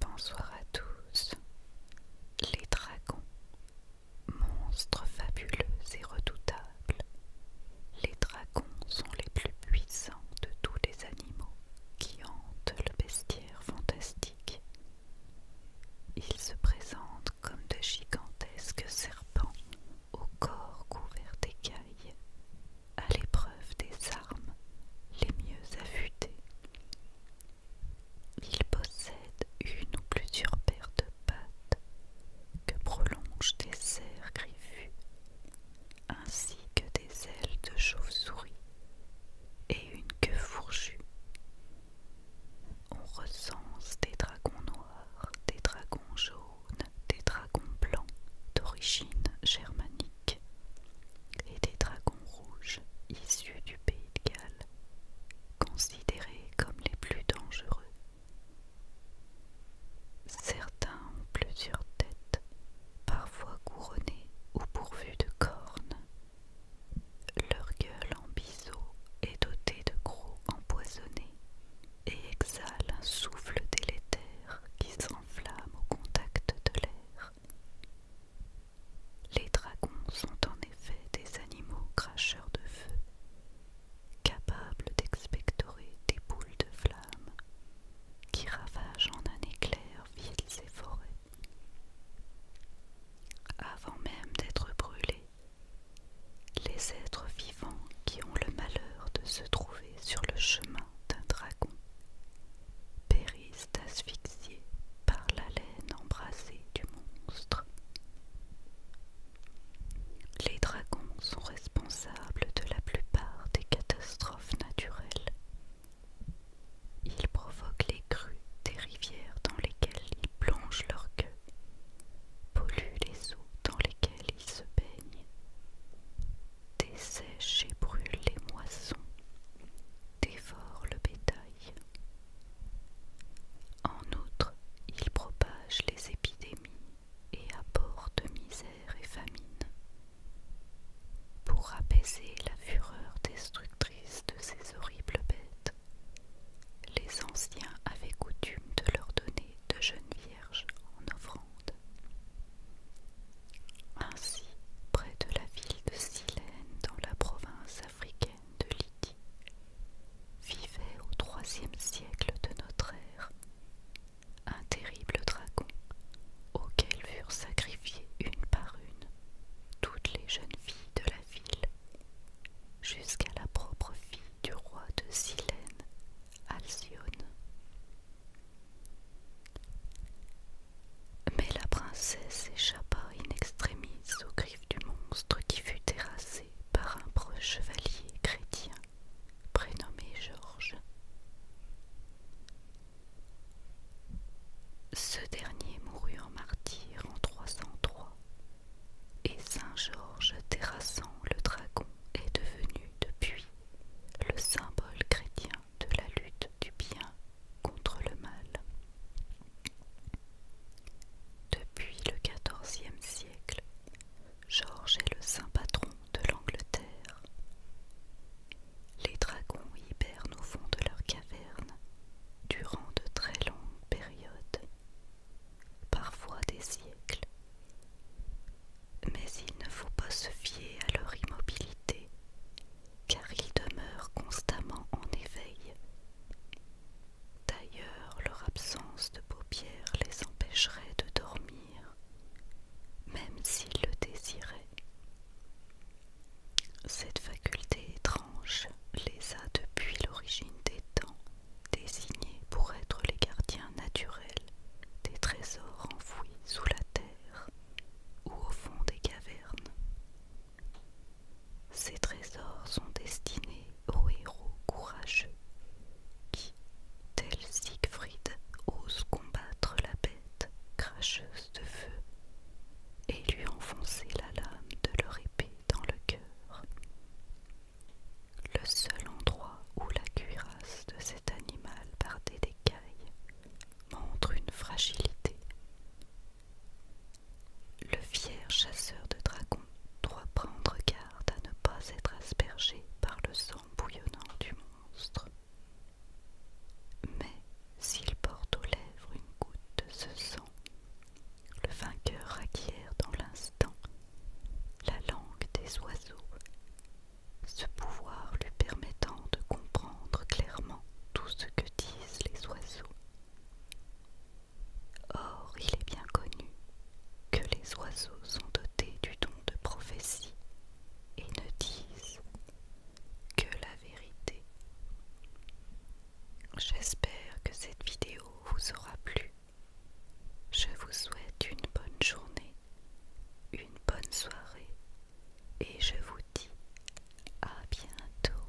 Bonsoir à tous. Les dragons, monstres fabuleux et redoutables, les dragons sont les plus puissants de tous les animaux qui hantent le bestiaire fantastique. Ils se présentent comme de gigantesques serpents au corps couvert d'écailles, à l'épreuve des armes les mieux affûtées. Il possède une ou plusieurs paires de pattes que prolongent des serres griffues, ainsi que des ailes de chauve-souris et une queue fourchue. On recense des dragons noirs, des dragons jaunes, des dragons blancs d'origine germanique et des dragons rouges issus du pays de Galles, considérés comme les plus dangereux. Certains ont plusieurs têtes, parfois couronnées ou pourvues de cornes. Leur gueule en biseau est dotée de crocs empoisonnés et exhale un souffle délétère qui s'enflamme au contact de l'air. Les dragons sont en effet des animaux cracheurs de feu, capables d'expectorer des boules de flammes qui ravagent en un éclair villes et forêts. Avant même d'être brûlés, les êtres vivants qui ont le malheur de se trouver sur le chemin d'un dragon périssent asphyxiés par l'haleine embrassée du monstre. Les dragons sont responsables de la plupart des catastrophes naturelles. Ils provoquent les crues des rivières dans lesquelles ils plongent leur cœur pollue les eaux dans lesquelles il se baigne dessèche et brûle les moissons, dévore le bétail. En outre, il propage les épidémies et apporte misère et famine. Pour apaiser la fureur destructrice de ces horribles bêtes, les anciens avaient coutume de leur donner de jeunes vierges en offrande. Ainsi, près de la ville de Silène, dans la province africaine de Lydie, vivait au troisième siècle de notre ère un terrible dragon auquel furent sacrifiées une par une toutes les jeunes filles de la ville, jusqu'à la propre fille du roi de Silène, Alcyone. Mais la princesse échappa in extremis aux griffes du monstre qui fut terrassé par un preux chevalier chrétien prénommé Georges. Ce dernier mourut en martyr en 303 et saint Georges terrassant le dragon est devenu depuis le symbole chrétien de la lutte du bien contre le mal. Depuis le XIVe siècle, Georges est le saint patron de l'Angleterre. Les dragons hibernent au fond de leurs cavernes durant de très longues périodes, parfois des siècles. Mais il ne faut pas se fier à leur immobilité, car ils demeurent constamment en éveil. D'ailleurs, leur absence de paupières les empêcherait de dormir même s'il le désirait. Cette faculté étrange les a depuis l'origine des temps désignés pour être les gardiens naturels des trésors enfouis sous la terre ou au fond des cavernes. Ces trésors sont destinés aux héros courageux qui, tel Siegfried, ose combattre la bête cracheuse de feu et lui enfoncer la lame de leur épée dans le cœur. Le seul endroit où la cuirasse de cet animal bardé d'écailles montre une fragilité. Le fier chasseur de dragons doit prendre garde à ne pas être aspergé par le sang bouillonnant du monstre. Mais s'il porte aux lèvres une goutte de ce sang, le vainqueur acquiert dans l'instant la langue des oiseaux, ce pouvoir lui permettant de comprendre clairement tout ce que disent les oiseaux. Or, il est bien connu que les oiseaux sont dotés du don de prophétie et ne disent que la vérité. J'espère que cette vidéo vous aura plu. Je vous souhaite une bonne journée, une bonne soirée et je vous dis à bientôt.